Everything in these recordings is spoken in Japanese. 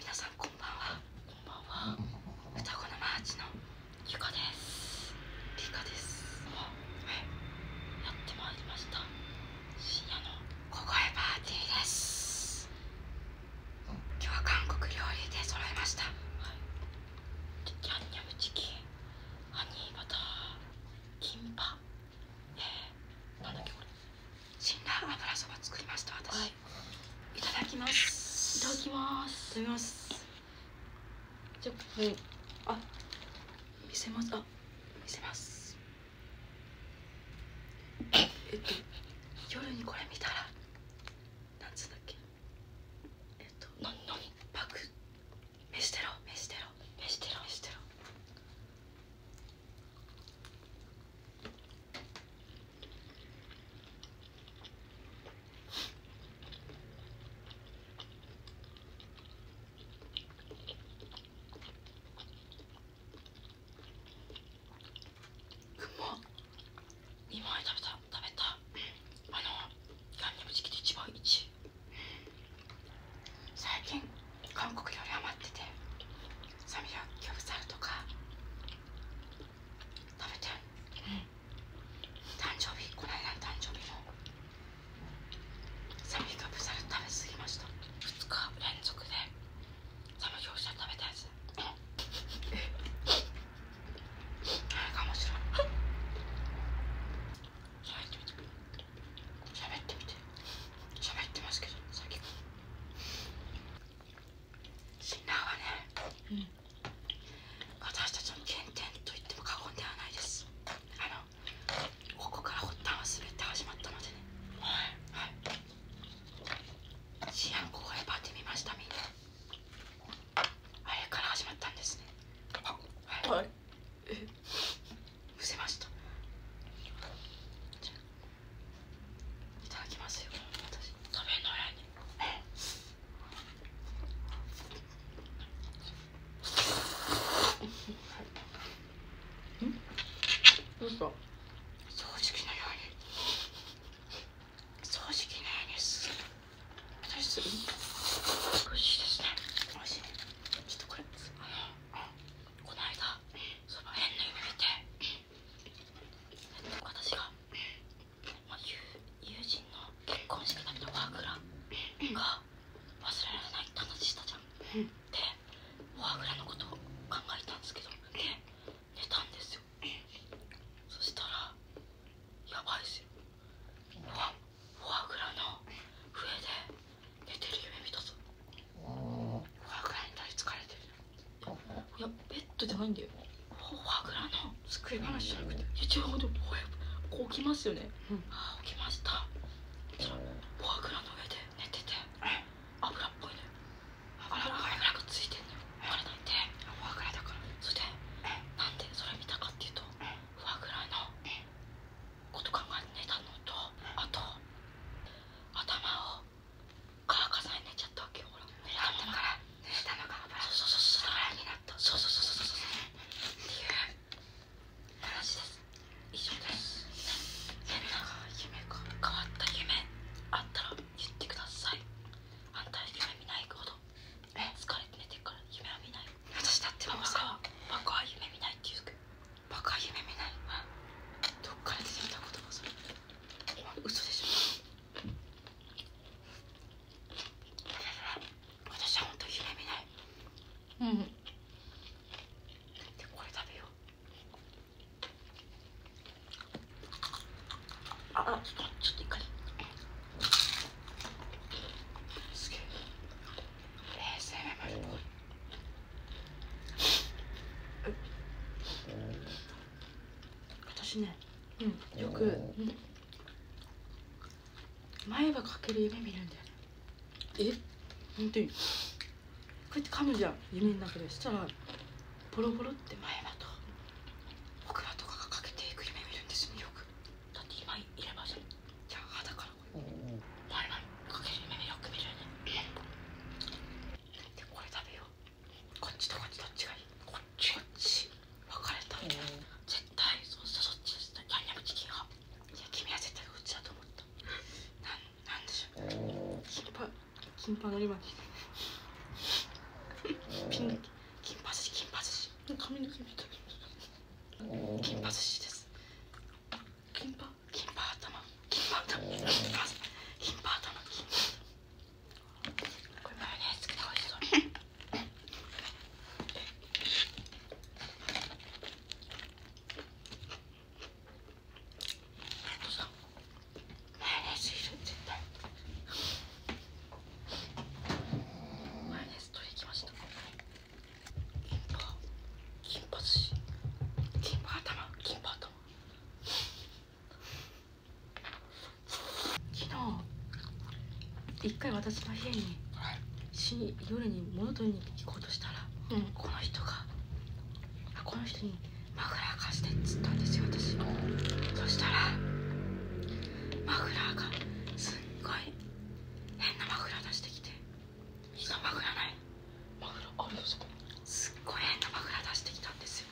皆さんこんばんはこんばんは双子のマーチのゆかですりかですはいやってまいりました深夜の小声パーティーです今日は韓国料理で揃えましたはいヤンニョムチキンハニーバターキンパえなんだっけこれ辛辣油そば作りました私、いただきますいただきます飲みますじゃあ、はあ見せますあ見せますえっと夜にこれ見たらなんつうんだっけえっとののんパク飯テロ飯テロ飯テロ飯テロ枚食食べべた、た。あの、で一番チ最近韓国料理余っててサミムギョブサルとか食べてうん誕生日この間の誕生日の。サミギョプサル食べ過ぎました2日連続でサミギョプサル食べたやつうん何か面白い喋ってみて喋ってみて喋ってますけどさっきシンナーはね、うん、私たちの原点と言っても過言ではないですあのここから発端は全て始まったのでねはいはいシアン公開パーティー見ましたみんなあれから始まったんですねあはい、はい、えむせましたいただきますよ私べんのやに、ね、んど掃除機のように掃除機のようす私する美味しですね美しちょっとこれあのこの間その変な夢見て私が友人の結婚式の時のフォアグラが忘れられないって話したじゃん、ん、でフォアグラのことを考えたんですけどで寝たんですよそしたらやばいですよフォアグラの笛で寝てる夢見たぞおフォアグラに取りつれてるいやベッドじゃないんだよフォアグラの机話じゃなくていや違うでもこうきますよね、うん、起きましたそのフォアグの上で寝てて油っぽいね油が油がついてんのよなんてフォアグだからそしてなんでそれ見たかっていうとフォアグのこと考え寝たのとあと頭を乾かさに寝ちゃったわけよほら濡たんだから濡れたのが油そうそうそうそう油になったそうそうそうそうそうっていう話です以上です変な夢か変わった夢あったら言ってくださいあんた夢見ないほどえ疲れて寝てるから夢は見ない私だってバカはバカは夢見ないって言うバカは夢見ないどっから出てきた言葉それ嘘でしょ私は本当に夢みないでこれ食べようあちょっとちょっと一回すげえ冷静めまで私ね、よく、前歯かける夢見るんだよねえ本当にこうやって噛むじゃん夢の中でしたらボロボロって前歯と僕歯とかがかけていく夢見るんですよ、ね、よくだって今いればじゃじゃあ歯だからこれ前歯かける夢よく見るよねこれ食べようこっちとこっちどっちがいいこっちこっち分かれたみたいな、うん、絶対そうしたそっちしたヤンニャムチキン派いや君は絶対こっちだと思ったなんなんでしょうキンパキンパの今にピンだけ金髪し金髪し髪の毛みたい金髪しです金髪金髪頭金髪頭金髪頭金髪頭これマヨネーズつておいしそうマヨネーズいる絶対マヨネーズ取りに来ました金パ金パ寿司金パ頭金パ頭昨日一回私の家に、はい、し夜に物取りに行こうとしたら、この人がこの人にマフラー貸してっつったんですよ私そしたらマフラーがすっごい変なマフラー出してきて今マフないマフラあるよそこすっごい変なマフラー出してきたんですよ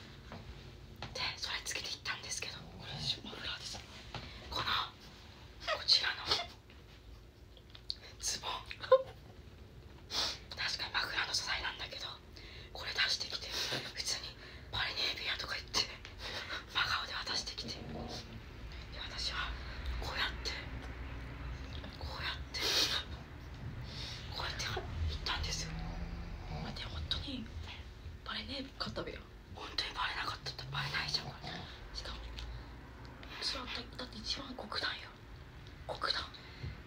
でそれつけていったんですけどこれシュマフこのこちらのズボン 確かに枕の素材なんだけどこれ出してきて普通にパリネービアとか言って真顔で渡してきてで私はこうやってこうやってこうやって行ったんですよ待って本当にバレねえかったべや本当にバレなかったっバレないじゃんこれしかも一番だった、って一番極端よ極端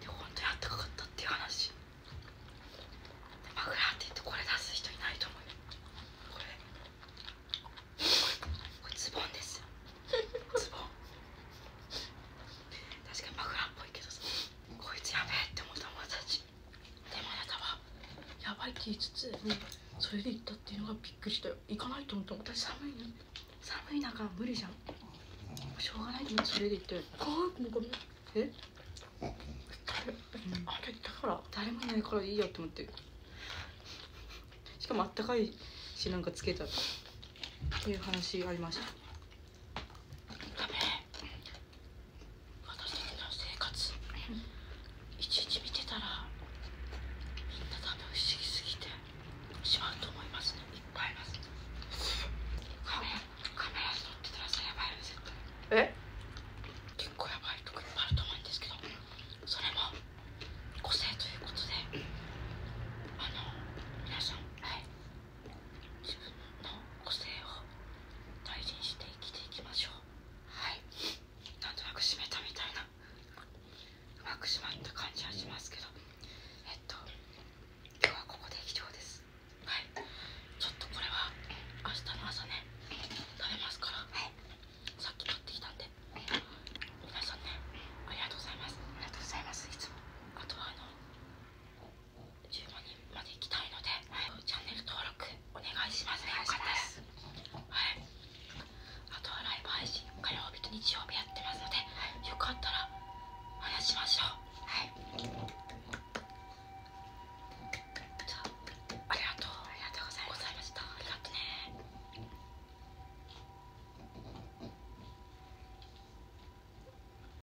で本当にあったかかったっていう話でマグラーって言ってこれ出す人いないと思うよこれこれズボンですズボン確かにマフラーっぽいけどさこいつやべえって思った友達でもやなたはやばいって言いつつ、それで行ったっていうのがびっくりしたよ行かないと思った私寒いな。寒い中無理じゃんしょうがないけどそれで行って怖くもごめんえあだから誰もいないからいいやと思ってしかもあったかいしなんかつけたっていう話ありましたダメ、私たちの生活一日見てたらみんなダメ、不思議すぎてしまうと思いますねいっぱいいますカメカメラ撮ってたらさやばいよね絶対え結構やばいとこいっぱいあると思うんですけどそれも個性ということであの皆さんはい自分の個性を大事にして生きていきましょうはいなんとなく締めたみたいなうまく締まった感じはしますけどえっと今日はここで以上ですはいちょっとこれは明日の朝ね食べますから、さっき買ってきたんで皆さんねありがとうございますありがとうございますいつもあとはあの10万人まで行きたいので、チャンネル登録お願いしますねよかったですはいあとはライブ配信火曜日と日曜日やってますので、はい、よかったら話しましょうはいじゃあありがとうございましたありがとね